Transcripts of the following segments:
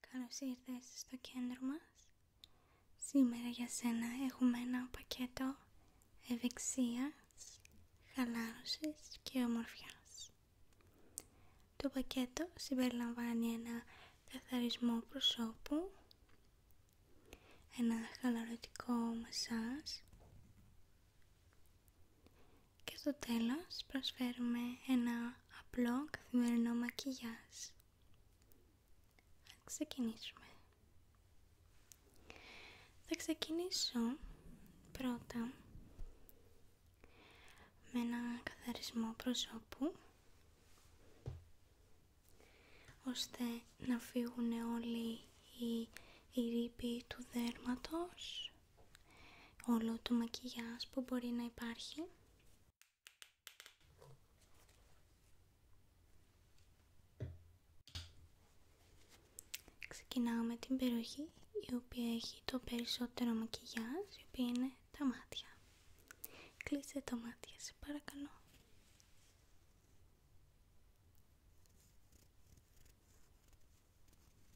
Καλώς ήρθες στο κέντρο μας. Σήμερα για σένα έχουμε ένα πακέτο ευεξίας, χαλάρωσης και ομορφιάς. Το πακέτο συμπεριλαμβάνει ένα καθαρισμό προσώπου, ένα χαλαρωτικό μασάζ, και στο τέλος προσφέρουμε ένα απλό καθημερινό μακιγιάζ. Θα ξεκινήσουμε. Θα ξεκινήσω πρώτα με ένα καθαρισμό προσώπου ώστε να φύγουν όλοι οι, οι ρήποι του δέρματος όλο το μακιγιάζ που μπορεί να υπάρχει. Ξεκινάμε την περιοχή η οποία έχει το περισσότερο μακιγιάζ, η οποία είναι τα μάτια. Κλείστε τα μάτια, σε παρακαλώ.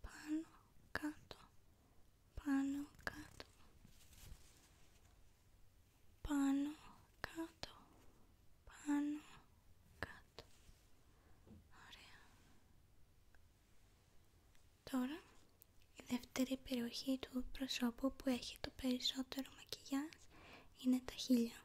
πάνω, κάτω, πάνω, κάτω, πάνω, κάτω, πάνω, κάτω. Ωραία. Τώρα η δεύτερη περιοχή του προσώπου που έχει το περισσότερο μακιγιάζ είναι τα χείλια.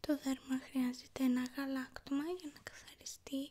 Το δέρμα χρειάζεται ένα γαλάκτωμα για να καθαριστεί.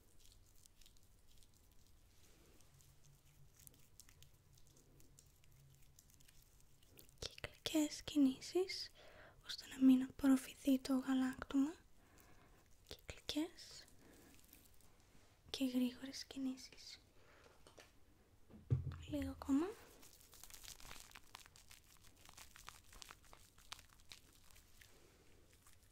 κυκλικές κινήσεις ώστε να μην απορροφηθεί το γαλάκτωμα κυκλικές και γρήγορες κινήσεις λίγο ακόμα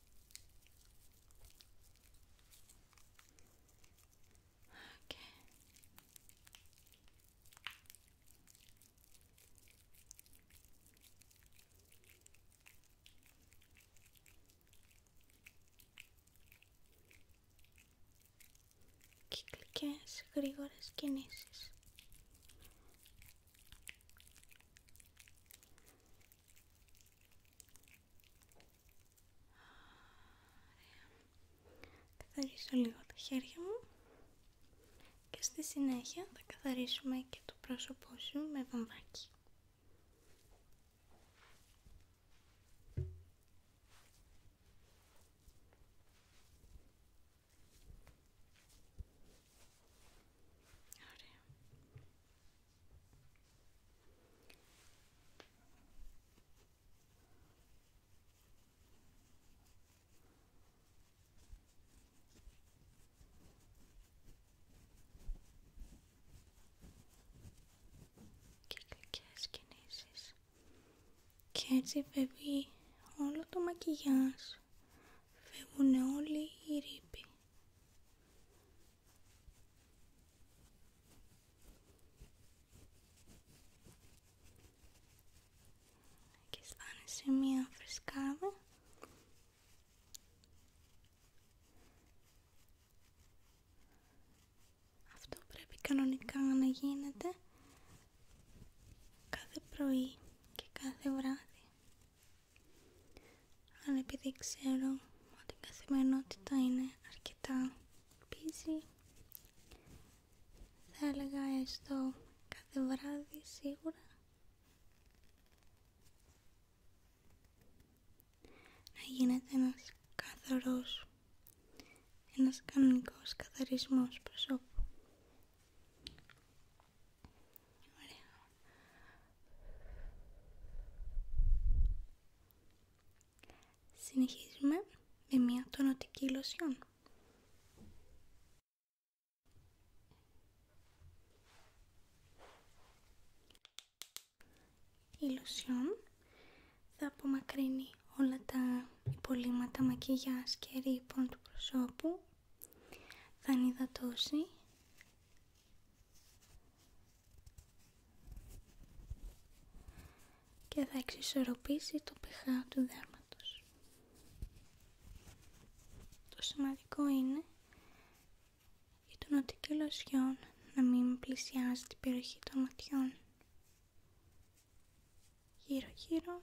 Okay. Κυκλικές γρήγορες κινήσεις. Καθαρίσω λίγο τα χέρια μου και στη συνέχεια θα καθαρίσουμε και το πρόσωπό σου με βαμβάκι και κυκλικές κινήσεις και έτσι φεύγει όλο το μακιγιάζ φεύγουν όλοι οι ρήποι. Και σε μία φρεσκάδα. Αυτό πρέπει κανονικά να γίνεται κάθε πρωί και κάθε βράδυ αλλά επειδή ξέρω ότι η καθημερινότητα είναι αρκετά busy θα έλεγα έστω κάθε βράδυ σίγουρα να γίνεται ένας καθαρός ένας κανονικός καθαρισμός προσώπου Συνεχίζουμε με μια τονοτική λοσιόν. Η λοσιόν θα απομακρύνει όλα τα υπολείμματα μακιγιάς και ρήπων του προσώπου, θα ανυδατώσει και θα εξισορροπήσει το pH του δέρματος. Το σημαντικό είναι η τονωτική λοσιόν να μην πλησιάζει την περιοχή των ματιών. Γύρω γύρω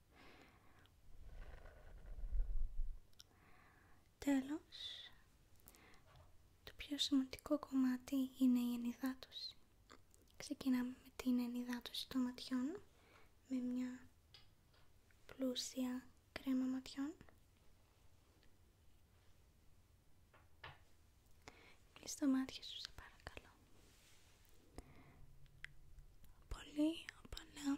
Τέλος, το πιο σημαντικό κομμάτι είναι η ενυδάτωση. Ξεκινάμε με την ενυδάτωση των ματιών με μια πλούσια κρέμα ματιών. κλείστε τα μάτια σου, παρακαλώ. Πολύ απαλά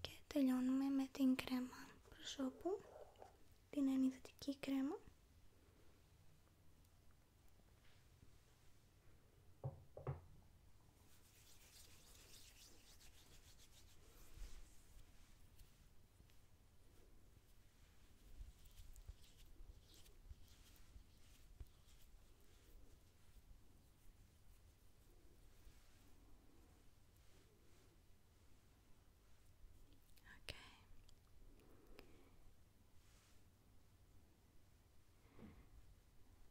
Και τελειώνουμε με την κρέμα προσώπου, την ενυδωτική κρέμα.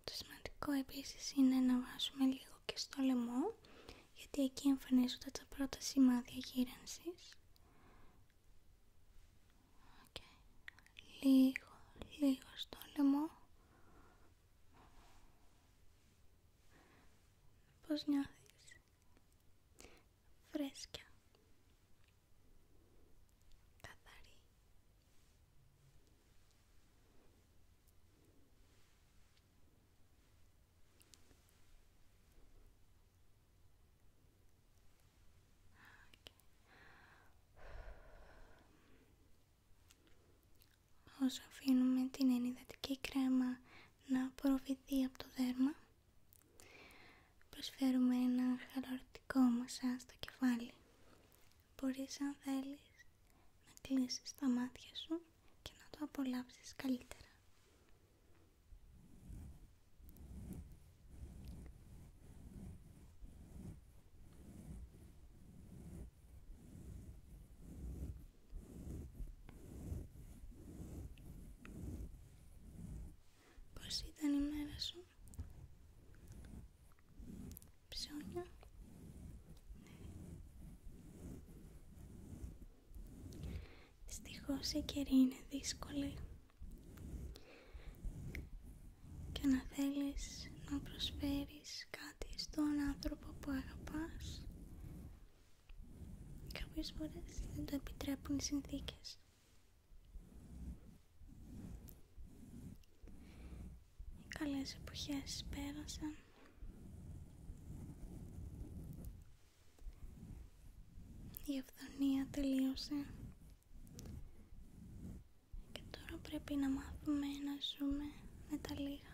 Το σημαντικό επίσης είναι να βάζουμε λίγο και στο λαιμό γιατί εκεί εμφανίζονται τα πρώτα σημάδια γύρανσης Λίγο, λίγο στο λαιμό. Πώς νιώθεις. Φρέσκια. Καθαρή. Όσο αφήνουμε την ενυδατική κρέμα να απορροφηθεί από το δέρμα προσφέρουμε ένα χαλαρωτικό μασά στο κεφάλι μπορείς αν θέλεις να κλείσεις τα μάτια σου και να το απολαύσεις καλύτερα Πώς ήταν η μέρα σου? Ψώνια. Δυστυχώς η καιρή είναι δύσκολη και να θέλεις να προσφέρεις κάτι στον άνθρωπο που αγαπάς κάποιες φορές δεν το επιτρέπουν οι συνθήκες οι καλές εποχές πέρασαν η αυθονία τελείωσε και τώρα πρέπει να μάθουμε να ζούμε με τα λίγα.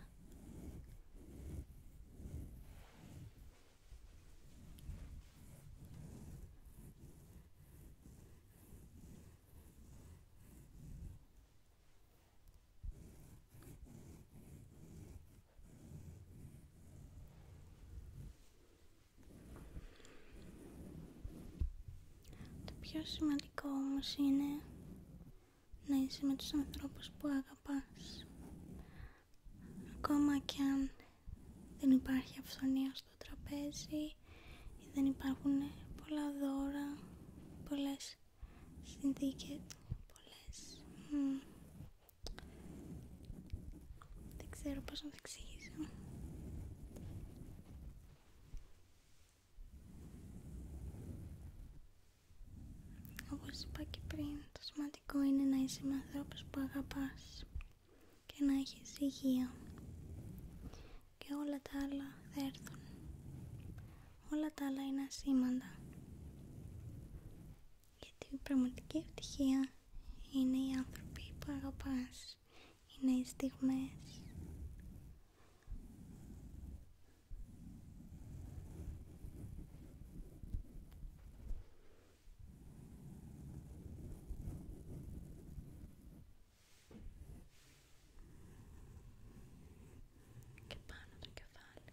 Το πιο σημαντικό όμω είναι να είσαι με τους ανθρώπους που αγαπάς. Ακόμα και αν δεν υπάρχει αυθονία στο τραπέζι ή δεν υπάρχουν πολλά δώρα, πολλές συνθήκες, πολλές... Δεν ξέρω πώς να το εξηγήσω. Όπως είπα και πριν, το σημαντικό είναι να είσαι με που αγαπάς και να έχεις υγεία και όλα τα άλλα θα έρθουν. Όλα τα άλλα είναι ασήμαντα γιατί η πραγματική ευτυχία είναι οι άνθρωποι που αγαπάς, είναι οι στιγμές και πάνω το κεφάλι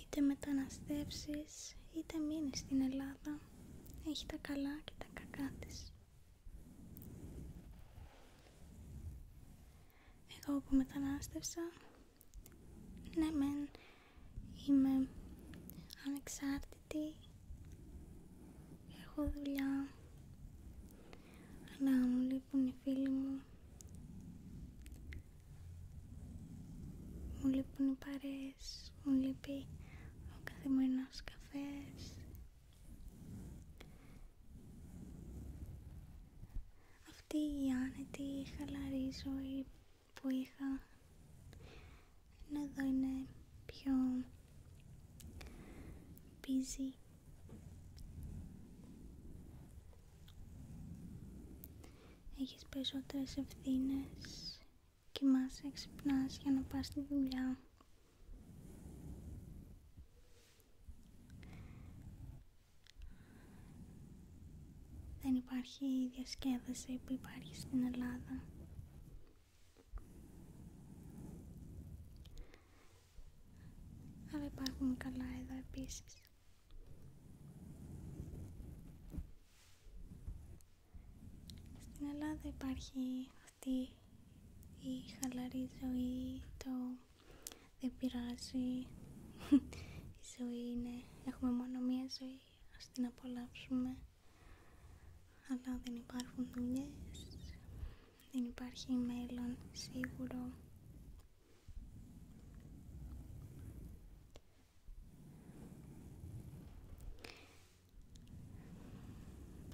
είτε μεταναστεύσεις είτε μείνεις στην Ελλάδα έχει τα καλά και τα κακά της εγώ που μετανάστευσα ναι μεν είμαι ανεξάρτητη έχω δουλειά αλλά μου λείπουν οι φίλοι μου μου λείπουν οι παρέες, μου λείπει ο καθημερινός καφές. Αυτή η άνετη, χαλαρή ζωή που είχα, εδώ είναι πιο busy έχεις περισσότερες ευθύνες, κοιμάσαι, ξυπνάς για να πας στη δουλειά. Δεν υπάρχει η διασκέδαση που υπάρχει στην Ελλάδα. Αλλά υπάρχουν καλά εδώ επίσης. Στην Ελλάδα υπάρχει αυτή η χαλαρή ζωή, το δεν πειράζει, η ζωή είναι, έχουμε μόνο μία ζωή, ας την απολαύσουμε. Αλλά δεν υπάρχουν δουλειές, δεν υπάρχει μέλλον σίγουρο.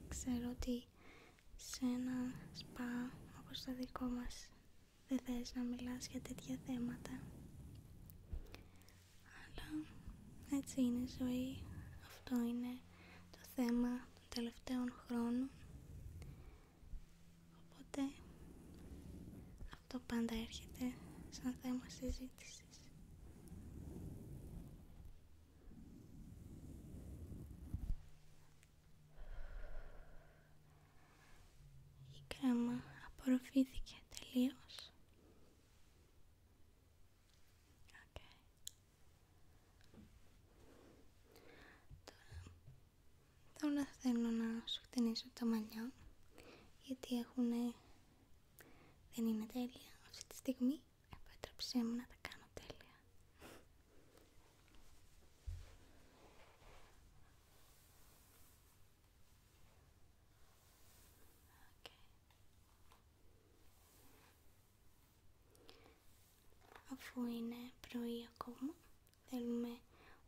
Ξέρω ότι σε ένα σπα όπως το δικό μας δεν θες να μιλάς για τέτοια θέματα αλλά έτσι είναι ζωή αυτό είναι το θέμα των τελευταίων χρόνων αυτό πάντα έρχεται σαν θέμα συζήτηση. Η κρέμα απορροφήθηκε τελείως. Τώρα θέλω να σου το τα μαλλιά γιατί έχουν... δεν είναι τέλεια αυτή τη στιγμή. Επέτρεψέ μου να τα κάνω τέλεια. Αφού είναι πρωί ακόμα, θέλουμε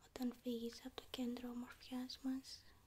όταν φύγεις από το κέντρο ομορφιάς μας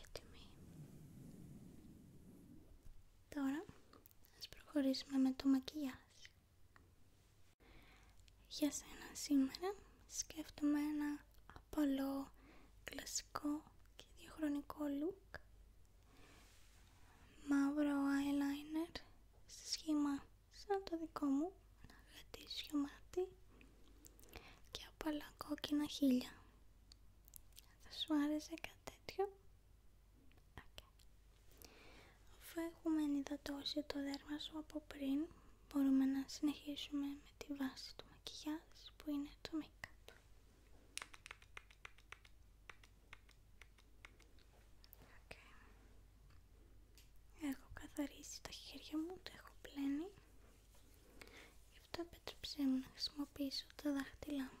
Έτοιμοι. Τώρα, ας προχωρήσουμε με το μακιάζ για σένα σήμερα σκέφτομαι ένα απαλό, κλασικό και διαχρονικό look Μαύρο eyeliner σε σχήμα σαν το δικό μου, ένα γατήσιο μάτι και απαλά κόκκινα χείλια Θα σου άρεσε κάτι τέτοιο Αφού έχουμε ενυδατώσει το δέρμα σου από πριν, μπορούμε να συνεχίσουμε με τη βάση του μακιγιάζ που είναι το make Έχω καθαρίσει τα χέρια μου, το έχω πλένει. Γι' αυτό επέτρεψέ μου να χρησιμοποιήσω τα δάχτυλά μου.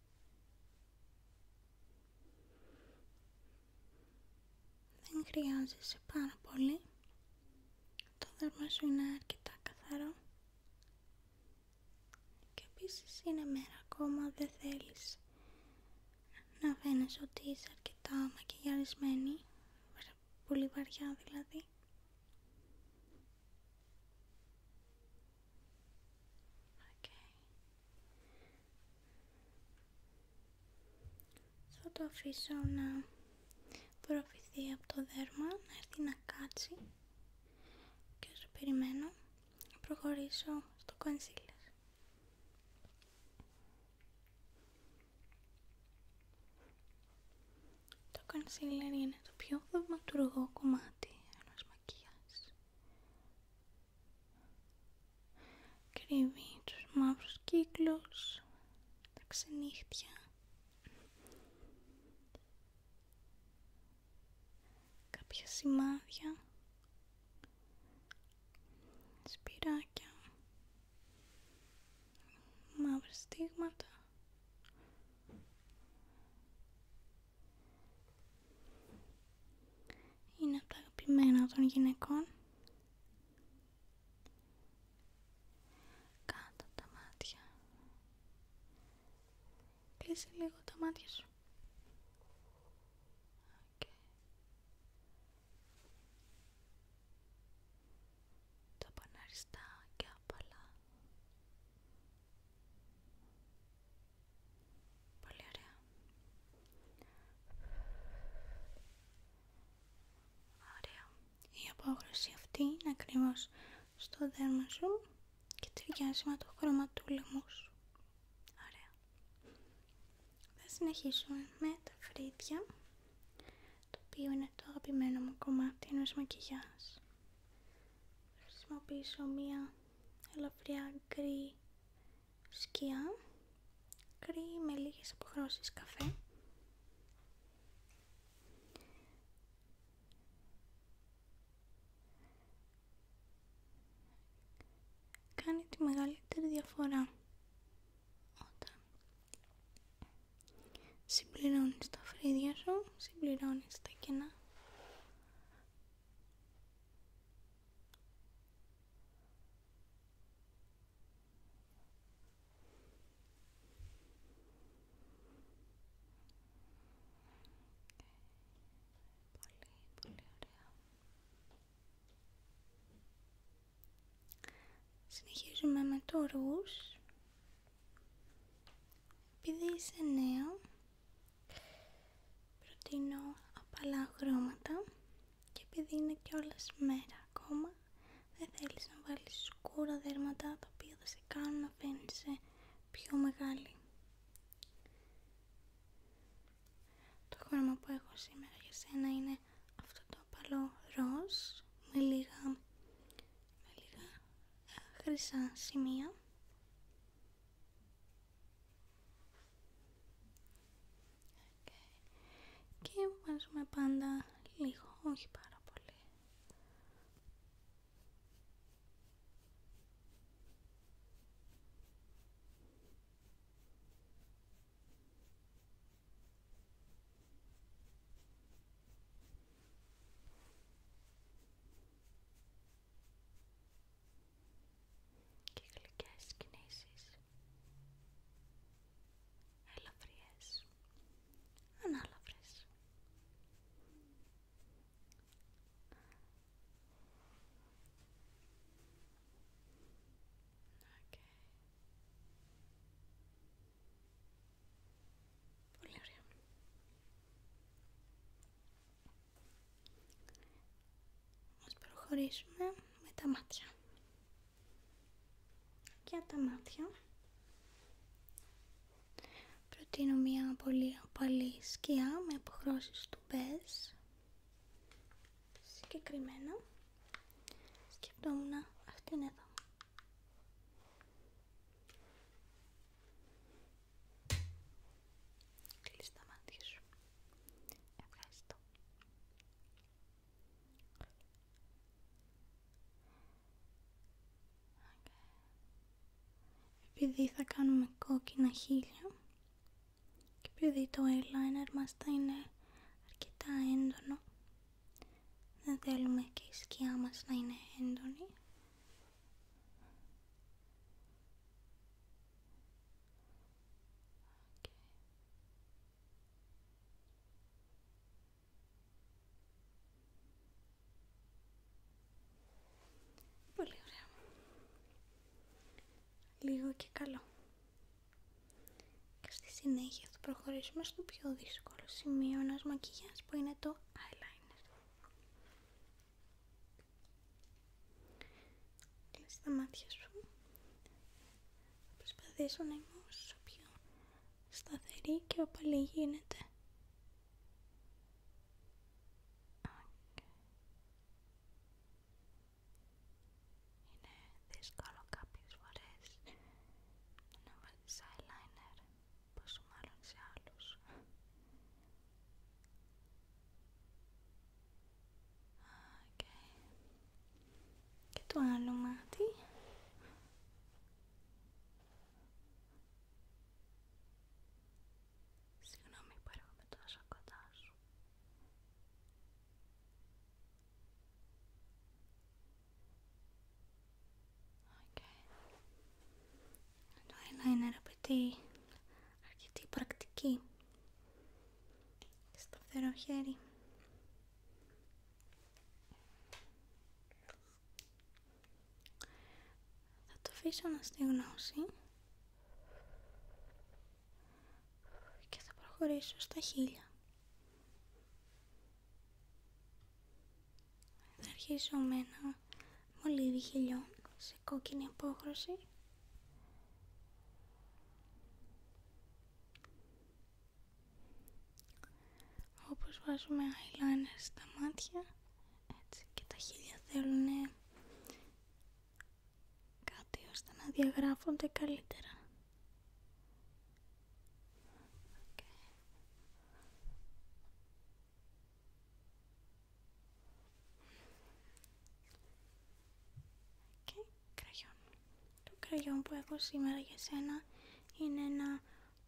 Δεν χρειάζεσαι πάρα πολύ. Το δέρμα σου είναι αρκετά καθαρό. Και επίσης είναι μέρα ακόμα, δεν θέλεις να φαίνεσαι ότι είσαι αρκετά μακιγιαρισμένη, πολύ βαριά δηλαδή. Θα το αφήσω να προφηθεί από το δέρμα, να έρθει να κάτσει και όσο περιμένω να προχωρήσω στο κονσίλερ. Το κονσίλερ είναι το πιο δευματουργό κομμάτι ενός κρύβει τους μαύρους κύκλους τα ξενύχτια κάποια σημάδια σπυράκια μαύρα στίγματα είναι από τα αγαπημένα των γυναικών. Κάτω τα μάτια. Κλείσε λίγο τα μάτια σου. Τα και απαλά. Πολύ ωραία. Ωραία. Η απόγνωση αυτή είναι ακριβώ στο δέρμα σου και τη με του λαιμού σου. Ωραία. Θα συνεχίσουμε με τα φρύδια, το οποίο είναι το αγαπημένο μου κομμάτι ενός μακιγιάζ. Θα χρησιμοποιήσω μία ελαφριά γκρι σκιά, γκρι με λίγες αποχρώσεις καφέ. Κάνει τη μεγαλύτερη διαφορά όταν συμπληρώνεις τα φρύδια σου, συμπληρώνεις τα κενά Πολύ, Συνεχίζουμε με το ρούς. Επειδή είσαι νέο, Προτείνω απαλά χρώματα και επειδή είναι όλες μέρα ακόμα δεν θέλεις να βάλεις σκούρα δέρματα τα οποία θα σε κάνουν να φαίνεσαι πιο μεγάλη. Το χρώμα που έχω σήμερα για σένα είναι αυτό το απαλό ροζ με λίγα, με λίγα ε, χρυσά σημεία. Και Και βάζουμε πάντα λίγο, όχι πάρα πολύ και γλυκές κινήσεις ελαφριές ανάλαφρες Okay. Πολύ ωραία. Ας προχωρήσουμε με τα μάτια. Για τα μάτια προτείνω μια πολύ απαλή σκιά με αποχρώσεις του μπες. Συγκεκριμένα σκεφτόμουν αυτήν εδώ τα σου. Επειδή θα κάνουμε κόκκινα χείλια και επειδή το eyeliner μας θα είναι αρκετά έντονο δεν θέλουμε και η σκιά μας να είναι έντονη Πολύ ωραία. Λίγο και καλό. Και στη συνέχεια θα προχωρήσουμε στο πιο δύσκολο σημείο να μακίγια που είναι το eyeliner. Κλείσει τα μάτια σου. Θα προσπαθήσω να είμαι όσο πιο σταθερή και οπαλή γίνεται. Είναι δύσκολο κάποιες φορές να βάλεις eyeliner πόσο μάλλον σε άλλους. Okay. Και το άλλο μάτι. Συγγνώμη που έρχομαι τόσο κοντά σου. Okay το eyeliner απαιτεί αρκετή πρακτική και σταθερό χέρι. Θα το αφήσω να στεγνώσει και θα προχωρήσω στα χείλια. Θα αρχίσω με ένα μολύβι σε κόκκινη απόχρωση. Όπως βάζουμε eyeliner στα μάτια, έτσι και τα χίλια θέλουν κάτι ώστε να διαγράφονται καλύτερα και κραγιόν. Το κραγιόν που έχω σήμερα για σένα είναι ένα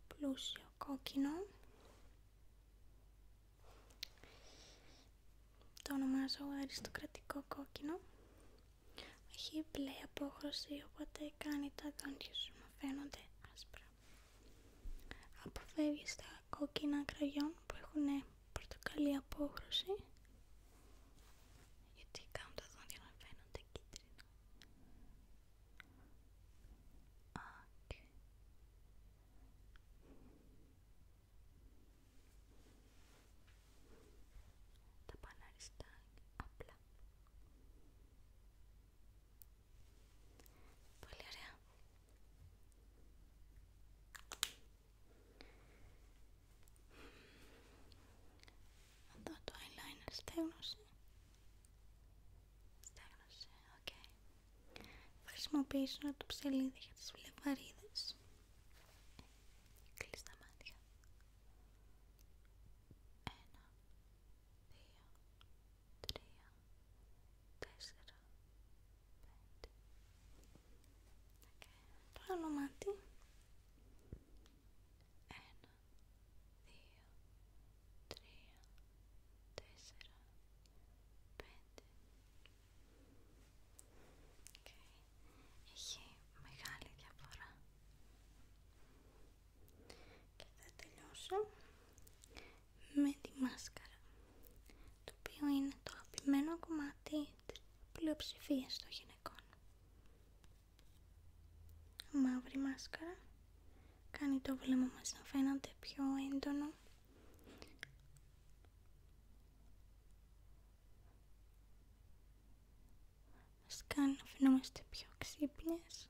πλούσιο κόκκινο. Το ονομάζω αριστοκρατικό κόκκινο. Έχει μπλε απόχρωση οπότε κάνει τα δόντια σου να φαίνονται άσπρα. Αποφεύγει τα κόκκινα κραγιόν που έχουν πορτοκαλί απόχρωση γιατί κάνουν τα δόντια να φαίνονται κίτρινα. Τα παναριστάκια απλά. Πολύ ωραία. Εδώ το eyeliner στέγνωσε. Στέγνωσε, οκ. Okay. Θα χρησιμοποιήσω το ψελίδι για τις βλεβαρίδες. Κλείς τα μάτια. Ένα, δύο, τρία, τέσσερα, πέντε. Okay. Το άλλο μάτι. Ένα, δύο, τρία, τέσσερα, πέντε. Έχει μεγάλη διαφορά και θα τελειώσω με τη μάσκαρα το οποίο είναι το αγαπημένο κομμάτι της πλειοψηφίας των γυναικών μαύρη μάσκαρα κάνει το βλέμμα μας να φαίνεται πιο έντονο μας κάνει να φαινόμαστε πιο ξύπνιες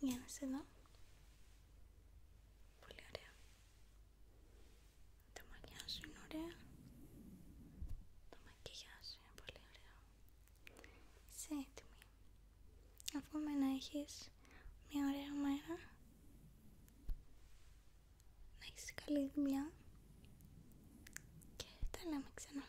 Για να σε Πολύ ωραία. Τα μαλλιά σου είναι ωραία. Το μακιγιά σου είναι πολύ ωραίο. Είσαι έτοιμη. Αφού να έχεις μια ωραία μέρα. Να έχεις καλή δουλειά. Και τα λέμε ξανά.